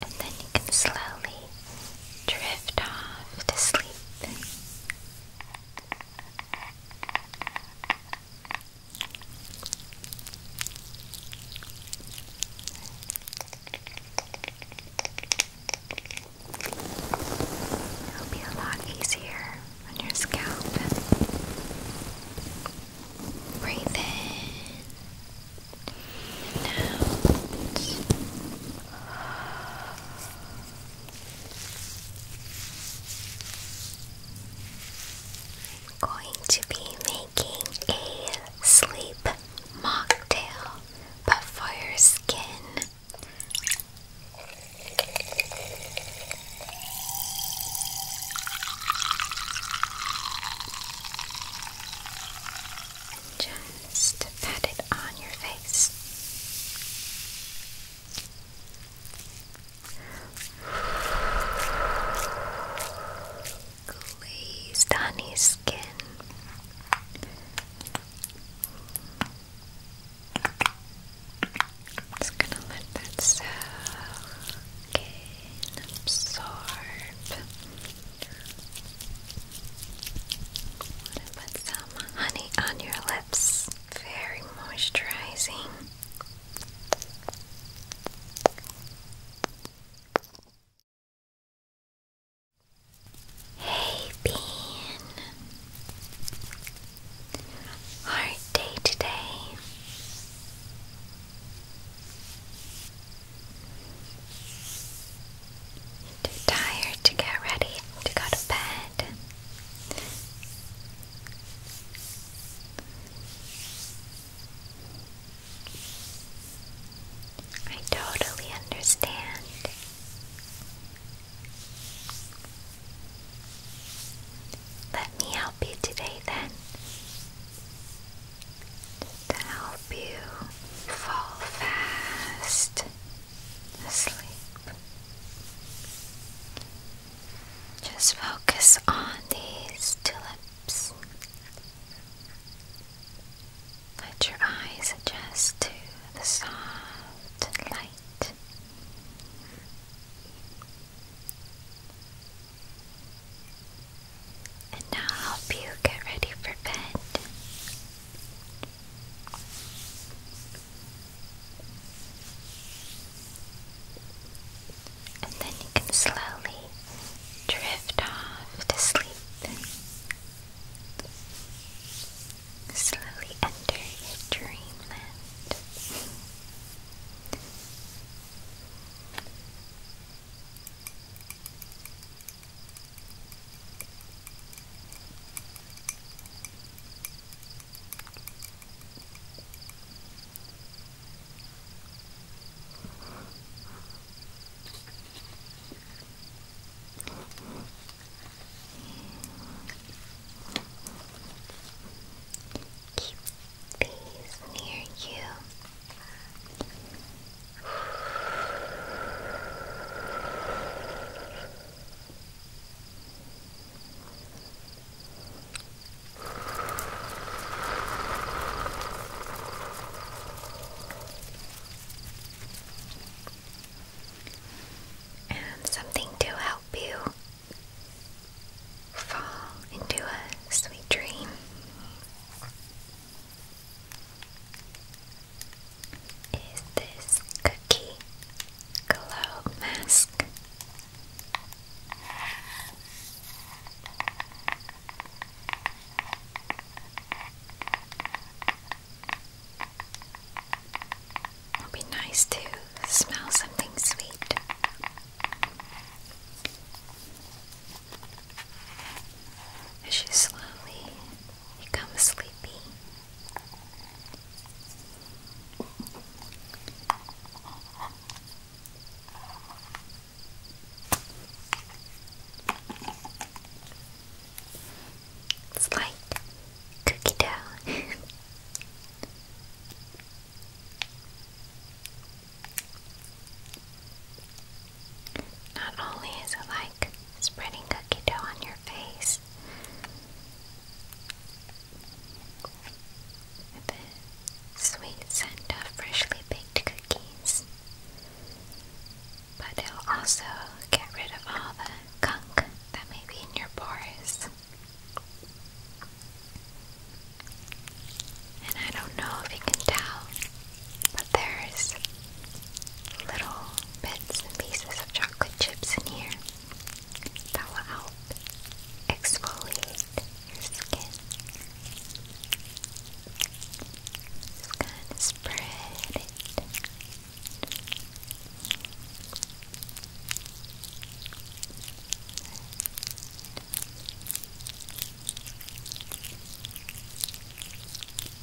And then you can slowly drift off to sleep. It'll be a lot easier on your scalp. Breathe in I'm going to be making a sleep mocktail, but for your skin. Just pat it on your face. Glazed honey skin. Just gonna let that soak and absorb honey on your lips. Very moisturizing. Hey, Bean. Hard day today. Too tired to get ready to go to bed. I totally understand. Let me help you today then to help you fall fast asleep. Just focus on these tulips. Let your eyes adjust to the soft light. And now I'll help you get ready for bed. And then you can slowly drift off to sleep. Slowly enter your dreamland. Keep peace near you. And something to help you fall into a sweet dream is this cookie glow mask. It'll be nice to smell something sweet as she slowly becomes sleepy. It's like cookie dough. Not only is it like spreading cookie dough on your face, with the sweet scent of freshly baked cookies, but it'll also get rid of all the gunk that may be in your pores. And I don't know if you can tell, but there's little bits and pieces of chocolate chips in here that will help exfoliate your skin. Just kind of spread it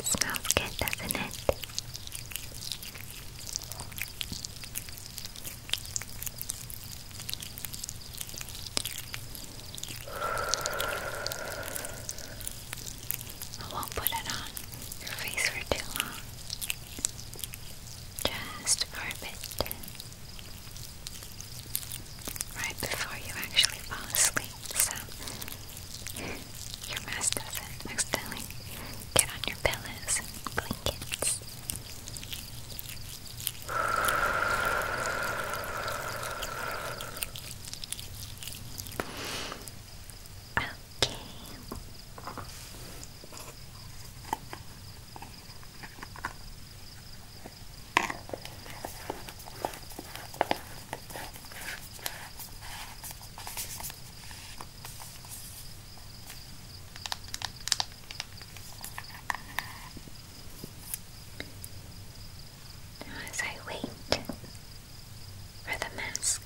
smells good, doesn't it? I won't put it on your face for too long. Just for a bit right before you actually fall asleep, so your mask doesn't accidentally get on your pillows and blankets. Okay. Now as I wait for the mask,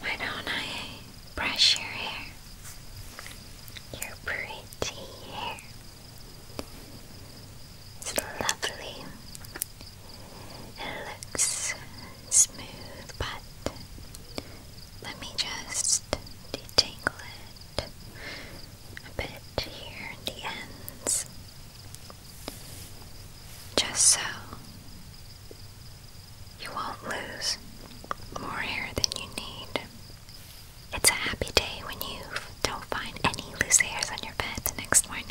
why don't I brush your hair? Your pretty hair. It's lovely. It looks smooth, but let me just detangle it a bit here in the ends. Just so you won't lose more hair than you need. It's a happy day when you don't find any loose hairs on your bed the next morning.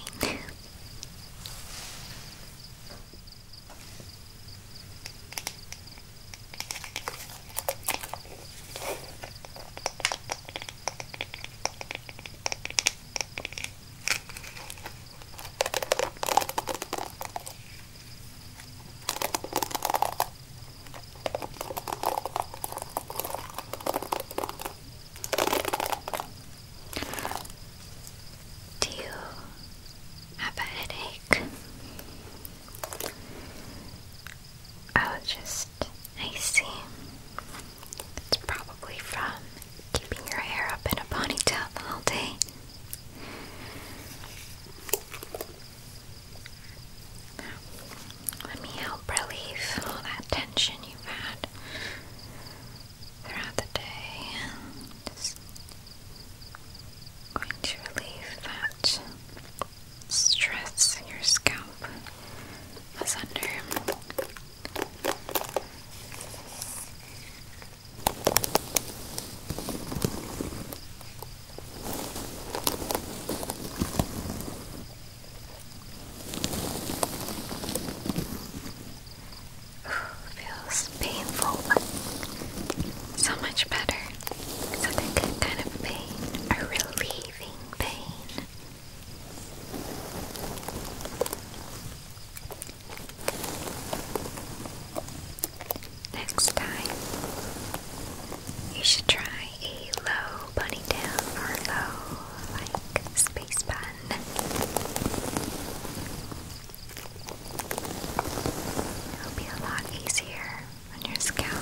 Do you have a headache? Oh, just I see. It's probably from keeping your hair up in a ponytail all day. Let me help relieve all that tension you've had throughout the day. Just going to relieve that stress in your scalp was Feels painful, so much better. It's a good kind of pain, a relieving pain. Next time, you should try a low ponytail or low, like, space bun. It'll be a lot easier on your scalp.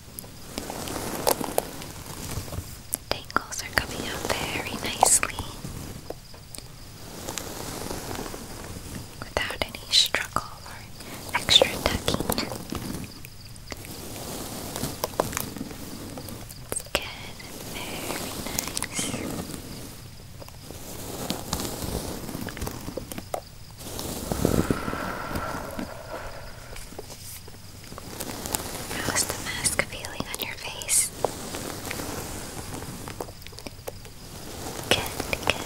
Tangles are coming out very nicely without any struggle or extra tucking. It's good, very nice. How's the mask feeling on your face? Good, good.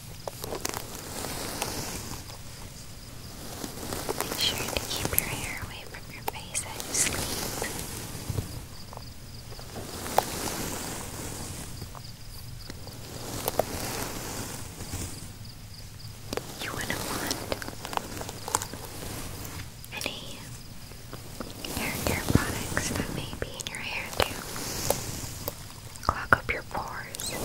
Make sure to keep your hair away from your face as you sleep. You wouldn't want any hair care products that may be in your hair too. Clog up your pores.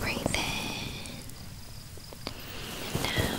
Breathe in out.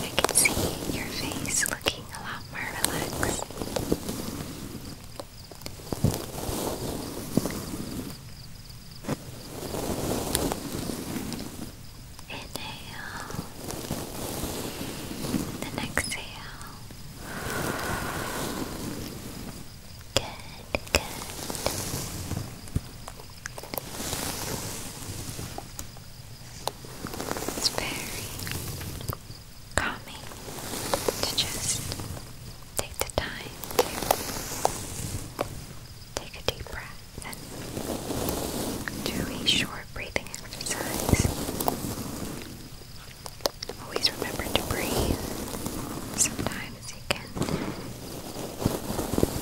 I can see your face looking a lot more relaxed. Inhale, then exhale. Good, good. It's very calming to just take the time to take a deep breath and do a short breathing exercise. Always remember to breathe. Sometimes you can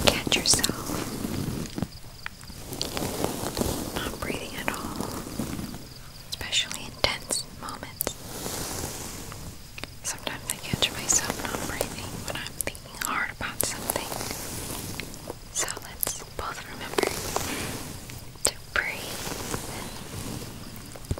catch yourself not breathing at all, especially in moments. Sometimes I catch myself not breathing when I'm thinking hard about something. So let's both remember to breathe.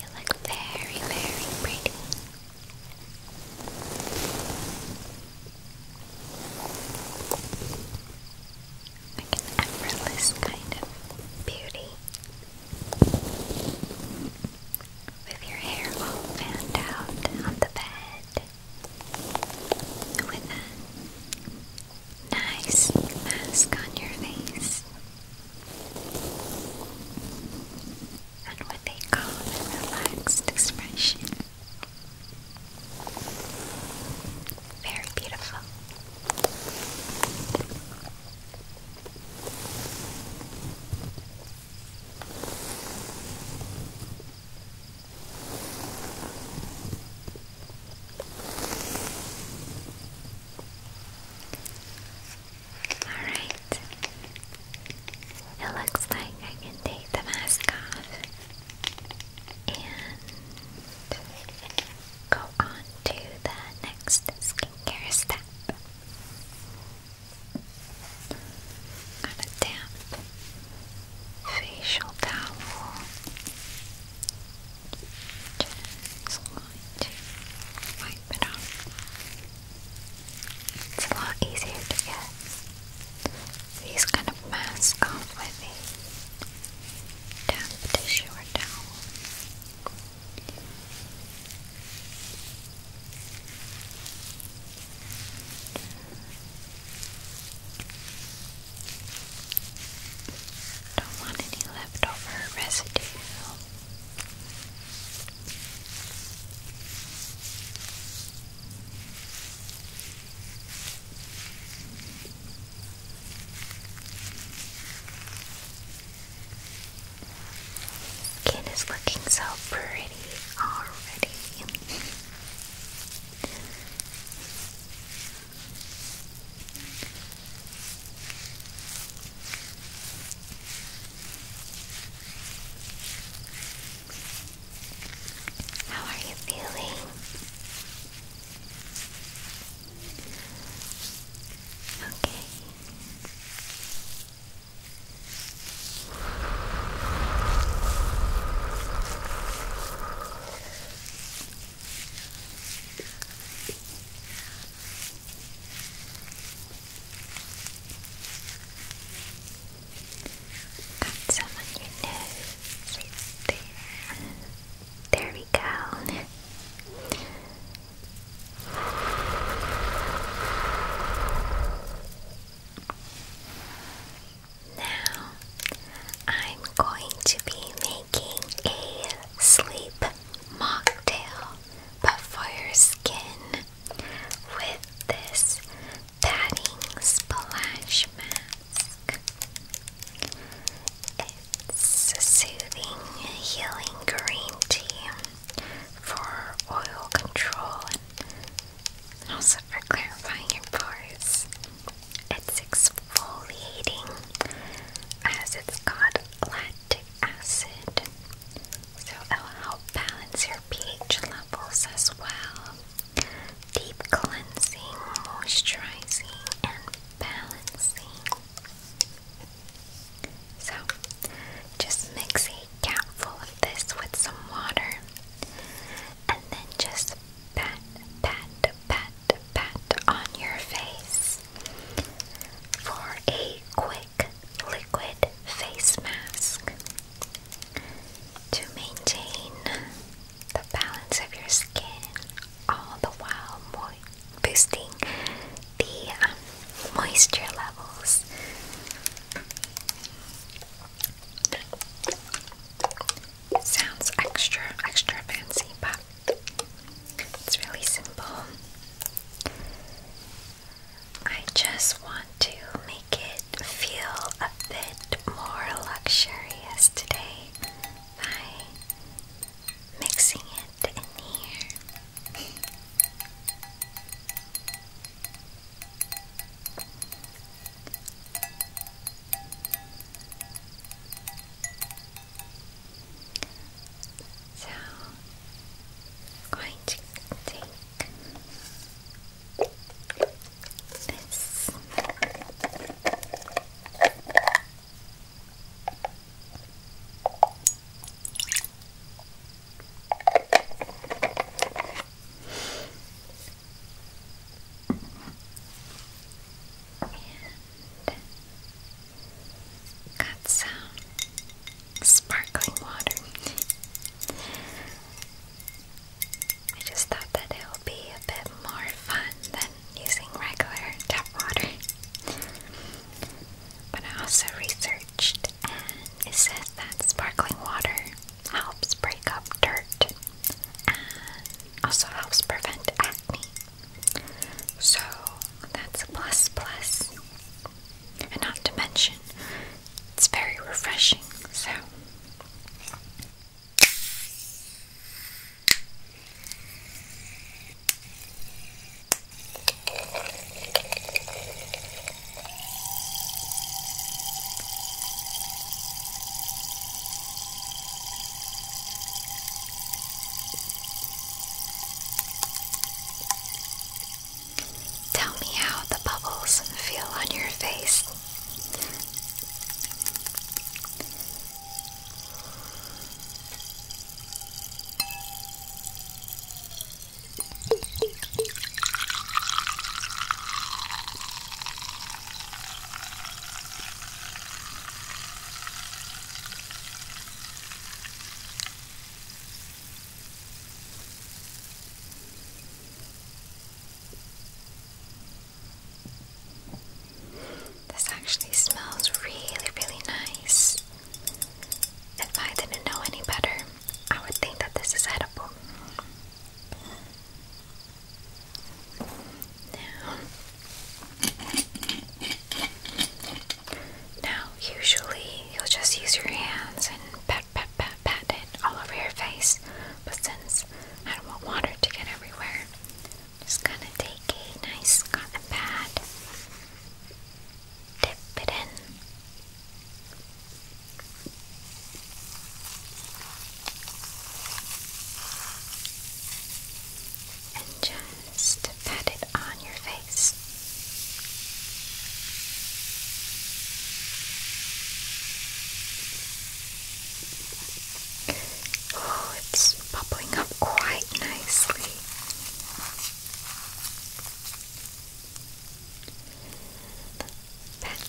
You look very, very pretty. an effortless kind of beauty. With your hair all fanned out on the bed. With a nice mask on your face and with a calm relaxed expression. Very beautiful. Alright. It looks like I can take the mask off and go on to the next step. Got a damp facial towel just going to wipe it off. It's a lot easier to get these kind of masks off with a damp tissue or towel. Just don't want any leftover residue. Kid is looking so pretty already. How are you feeling? Okay. Got some on your nose. there. there we go. Now, I'm going to be making a sleep mocktail, but for your skin with this padding splash mask. It's soothing, healing green tea for oil control and also for clarifying your pores. It's exfoliating as it's got lactic acid, so it'll help balance your pH levels as well. Deep cleansing, moisturizing, and balancing. So, just mix a capful of this with some water and then just pat, pat, pat, pat on your face for a quick liquid face mask to maintain the balance of your skin all the while boosting the um, moisture levels. Sounds extra, extra fancy, but it's really simple. I just want to make it feel a bit more luxurious today by mixing it in here. So i going to take this and Got some sparkling water. I just thought that it would be a bit more fun than using regular tap water. But I also researched and it says that sparkling water helps break up dirt and also helps prevent acne. So that's a plus plus. And not to mention, it's very refreshing, so. Tell me how the bubbles feel on your face. This actually smells really, really nice. If I didn't know any better, I would think that this is edible. Now, now, usually you'll just use your hands and pat, pat, pat, pat it all over your face, but since I don't want water to get everywhere, I'm just gonna take a nice cotton pad, dip it in. And just just pat it on your face. Oh, it's bubbling up quite nicely. Pat.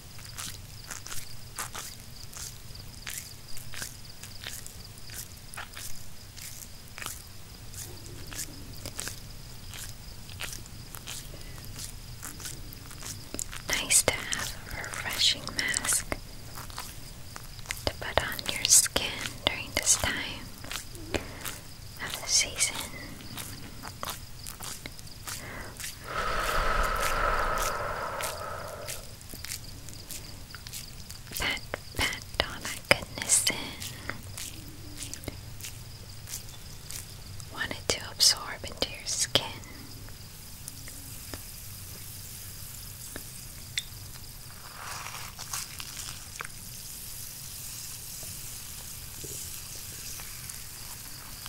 Nice to have a refreshing mask to put on your skin during this time of the season. Pat, Pat, Donna Goodnesson wanted to absorb into your skin.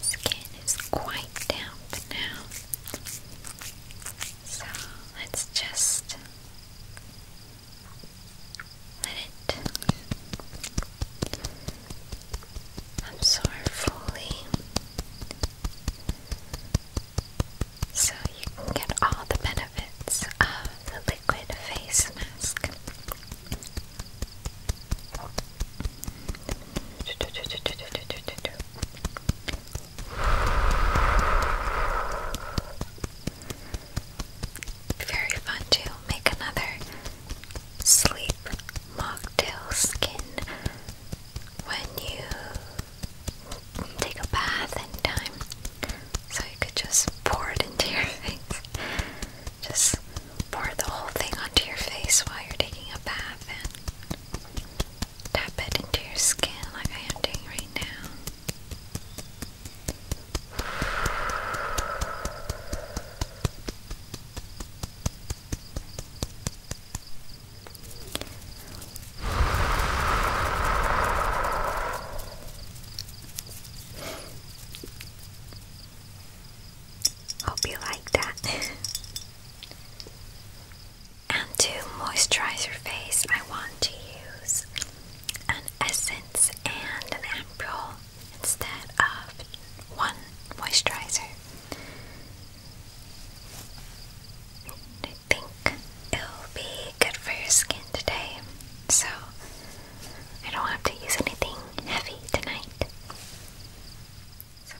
Skin is quite damp now, so let's just let it absorb fully so you can get all the benefits of the liquid face very fun to make another sleep mocktail skin when you take a bath in time so you could just pour it into your face. Just pour the whole thing onto your face while you're taking a bath and tap it into your skin like I am doing right now. Hope you like that. and to moisturize your face, I want to use an essence and an ampoule instead of one moisturizer. I think it'll be good for your skin today, so I don't have to use anything heavy tonight. So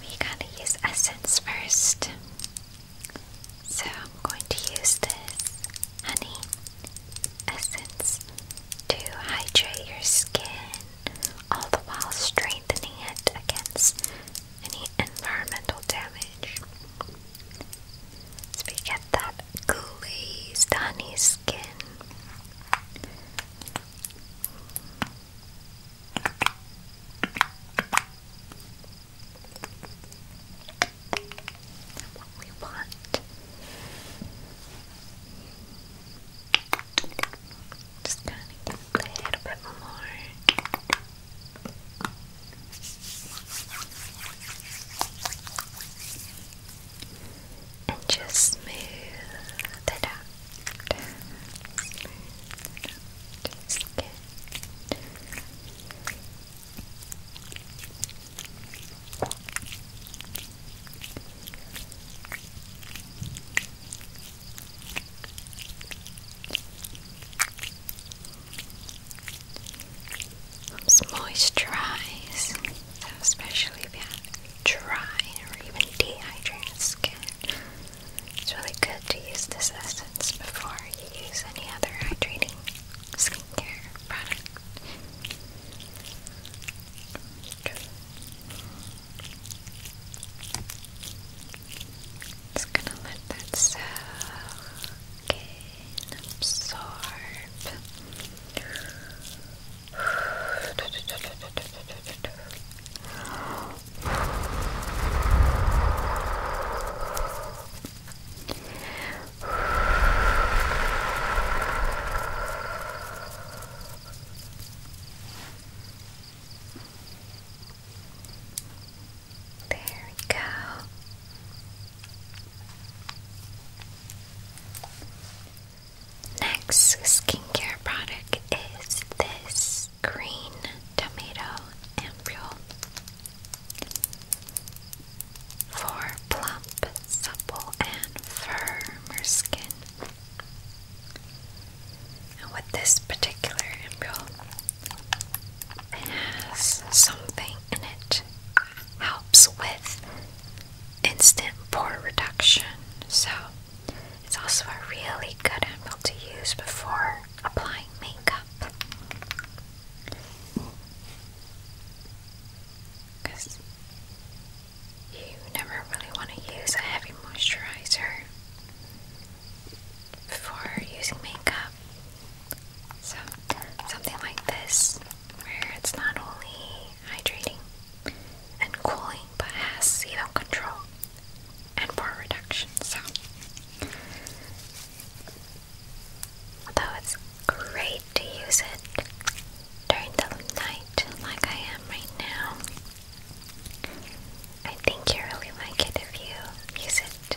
we gotta use essence first. So I'm going to use this honey essence to hydrate your skin all the while strengthening it against any environmental damage. So we get that glazed honey skin. What we want. Just kind of get a little bit more. And just smooth it out. Smooth it helps moisturize. especially if you have dry or even dehydrated skin, it's really good to use this essence before you use any other hydrating skincare product. Just gonna let that settle. Again, absorb. There we go. Next skincare product is this green tomato ampoule for plump, supple, and firmer skin. And with this particular ampoule, it has something in it helps with instant pore reduction. So it's also a really good oil to use before applying makeup. Because you never really want to use a heavy moisturizer before using makeup. So, something like this, where it's not only hydrating and cooling, but has sebum control and pore reduction. So, although it's great to use it during the night, like I am right now, I think you really like it if you use it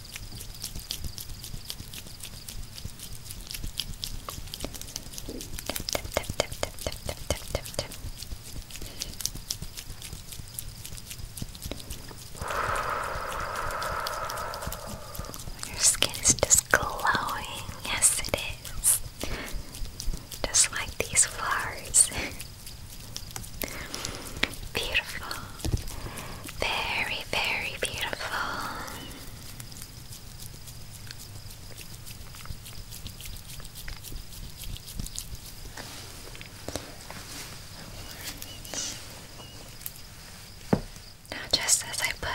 Tip, tip, tip, tip, tip, tip, tip, tip. Your skin is just glowing. Yes, it is. Just like these flowers. Beautiful. Very, very beautiful. Now, just as I put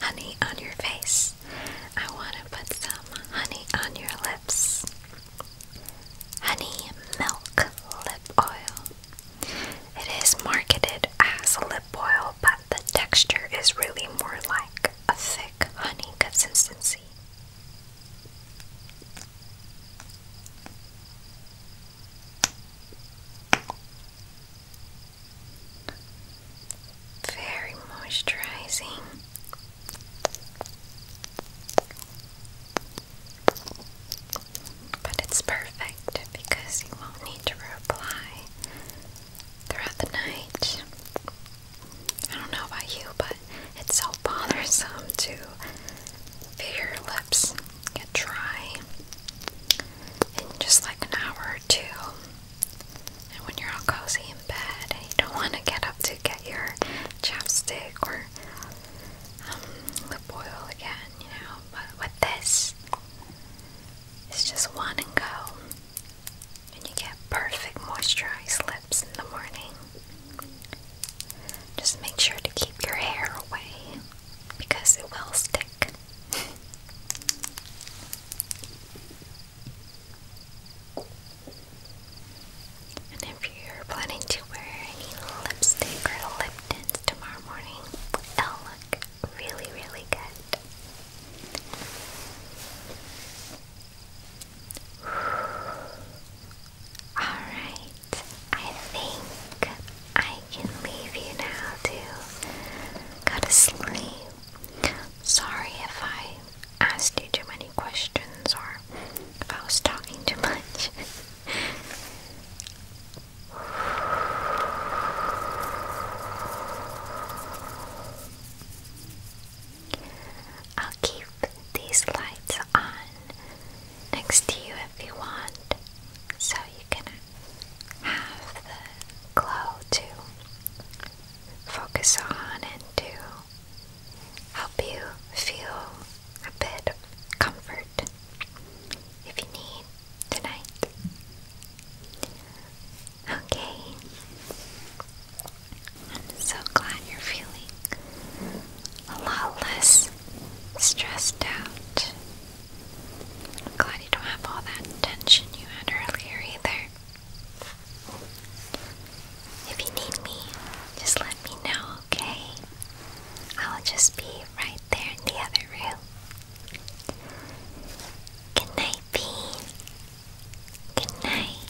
honey on your face, I want to put some honey on your lips. Honey milk lip oil. It is marketed as a lip oil, but the texture is really more like a thick honey consistency. Very moisturizing. But it's perfect because you won't need to reapply throughout the night. I don't know about you, but it's so bothersome to feel your lips get dry in just like an hour or two. And when you're all cozy in bed, and you don't want to get up to get your chapstick or um, lip oil again you know, but with this, it's just one and go. And you get perfect moisturized lips in the morning. Just make sure to keep your hair away because it will stick. and if you're planning to wear any lipstick or lip tint tomorrow, tomorrow morning, it'll look really, really good. Alright, I think I can leave you now to go to sleep. Sorry if I asked you too many questions or if I was talking too much. I'll keep these lights on next to you if you want, so you can have the glow to focus on and to help you feel a bit of comfort if you need tonight. Okay. I'm so glad you're feeling a lot less stressed out. I'm glad you don't have all that tension you had earlier either. If you need me, just let me know. Okay, I will just be right there in the other room. Good night, Bean. Good night.